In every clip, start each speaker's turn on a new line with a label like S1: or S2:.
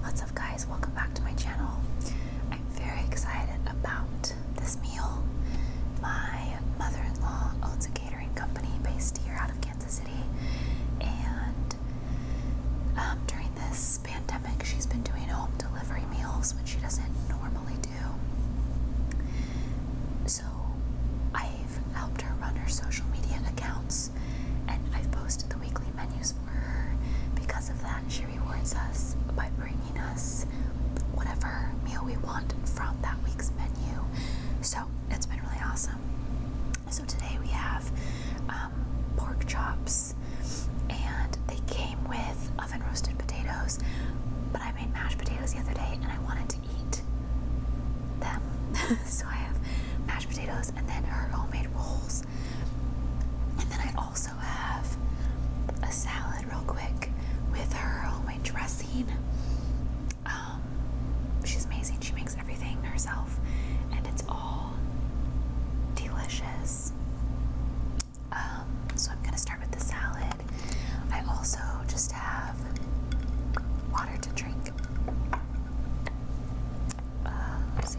S1: What's up guys, welcome back to my channel. I'm very excited about this meal. My mother-in-law owns a catering company based here out of Kansas City and um, during this pandemic she's been doing home delivery meals which she doesn't normally do. So I've helped her run her social media accounts and I've posted the weekly menus for her. Because of that, she rewards us by bringing us whatever meal we want from that week's menu. So it's been really awesome. So today we have um, pork chops, and they came with oven roasted potatoes. But I made mashed potatoes the other day, and I wanted to eat them. so I have mashed potatoes and then her homemade rolls. And then I also have a salad real quick with her homemade dressing. Um, she's amazing. She makes everything herself and it's all delicious. Um, so I'm gonna start with the salad. I also just have water to drink. Uh, let's see.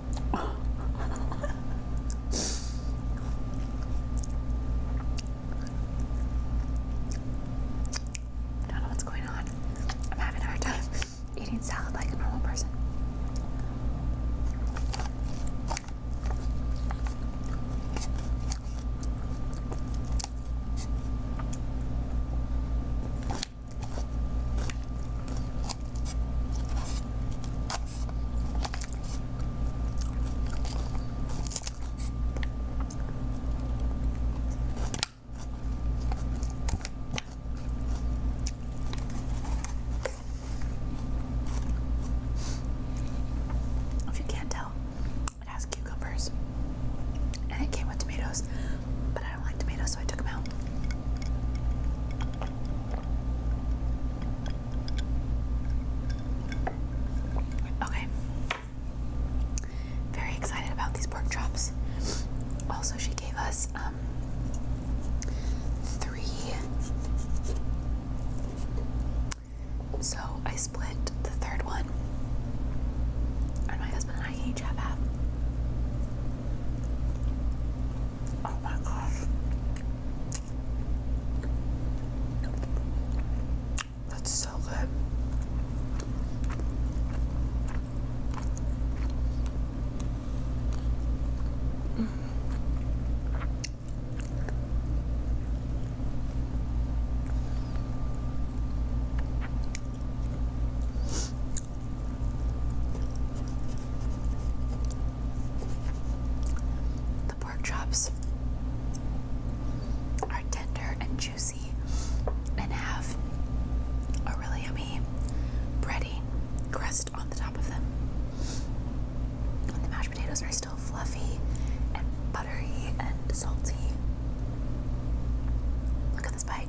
S1: don't know what's going on. I'm having a hard time eating salad like a normal person. If you can't tell, it has cucumbers and it came with tomatoes, but I don't like tomatoes so I took them out. Okay. Very excited about these pork chops. Also, she gave us um, three. So I split the third one, and my husband and I each have half. Oh my gosh. That's so good. The pork chops are tender and juicy and have a really yummy bready crust on the top of them. And the mashed potatoes are still fluffy and buttery and salty. Look at this bite.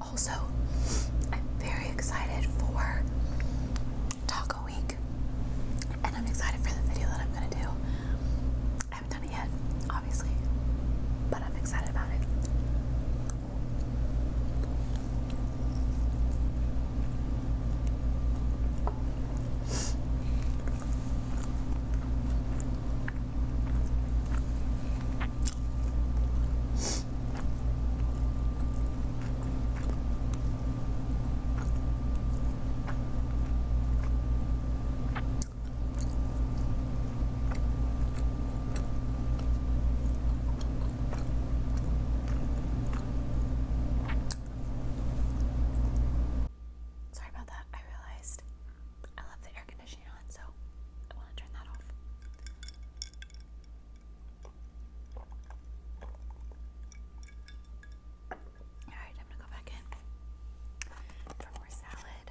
S1: Also, I'm very excited for Taco Week, and I'm excited for the video that I'm gonna do. I haven't done it yet, obviously, but I'm excited about it. Sorry about that. I realized I love the air the air conditioning on, so I want to turn that off. Alright, I'm gonna go back in for more salad.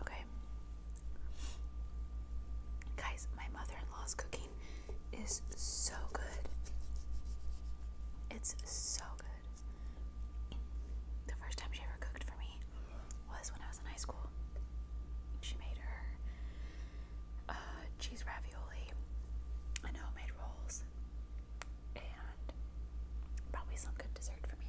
S1: Okay. Guys, my mother in law's cooking is so good. It's so good. The first time she ever cooked for me was when I was in high school. She made her uh, cheese ravioli I and made rolls and probably some good dessert for me.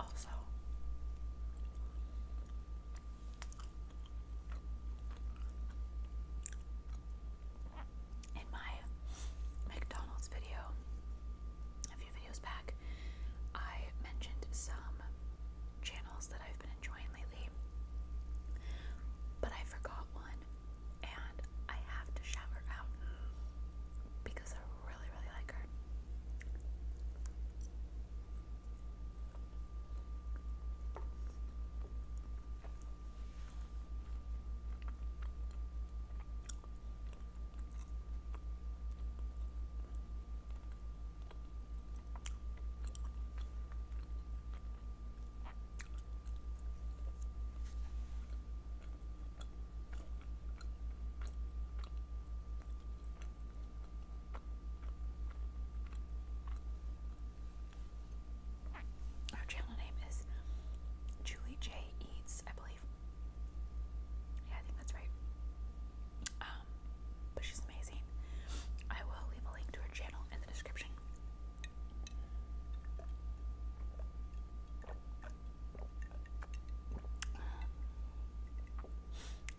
S1: Also, in my McDonald's video, a few videos back, I mentioned some channels that I've been enjoying lately, but I forgot one and I have to shout her out because I really, really like her. Her channel name is Julie J Eats, I believe. Yeah, I think that's right. Um, but she's amazing. I will leave a link to her channel in the description.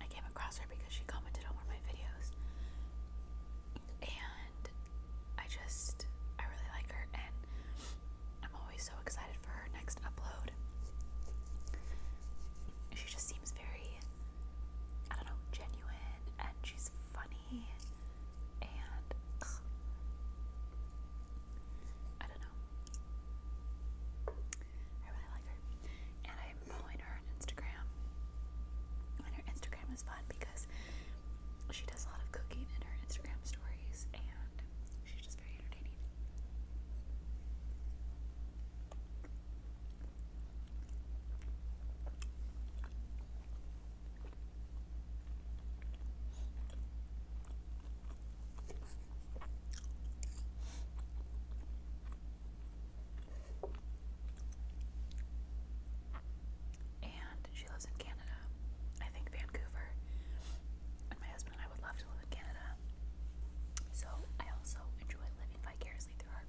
S1: I came across her because she commented on one of my videos. And I just, I really like her, and I'm always so excited for her next upload. She just seems very, I don't know, genuine, and she's funny, and ugh, I don't know. I really like her, and I'm following her on Instagram. And her Instagram is fun because she does a lot of cooking in her Instagram stories, and she's just very entertaining. And she lives in Canada. I think Vancouver. And my husband and I would love to live in Canada. So I also enjoy living vicariously through her.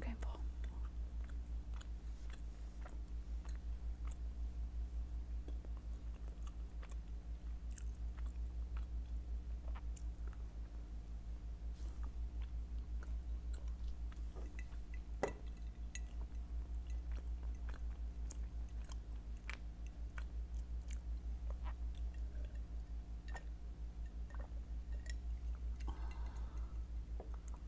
S1: Okay, Paul.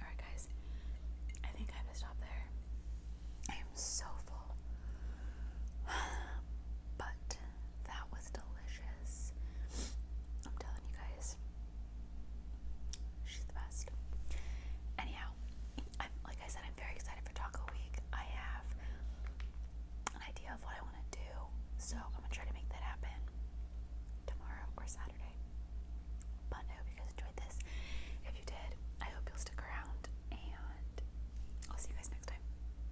S1: Alright, guys, I think I have to stop there. I am so full. But that was delicious. I'm telling you guys, she's the best. Anyhow, like I said, I'm very excited for Taco Week. I have an idea of what I want to do, so I'm gonna try to make that happen tomorrow or Saturday. But I hope you guys enjoyed this. If you did, I hope you'll stick around, and I'll see you guys next time.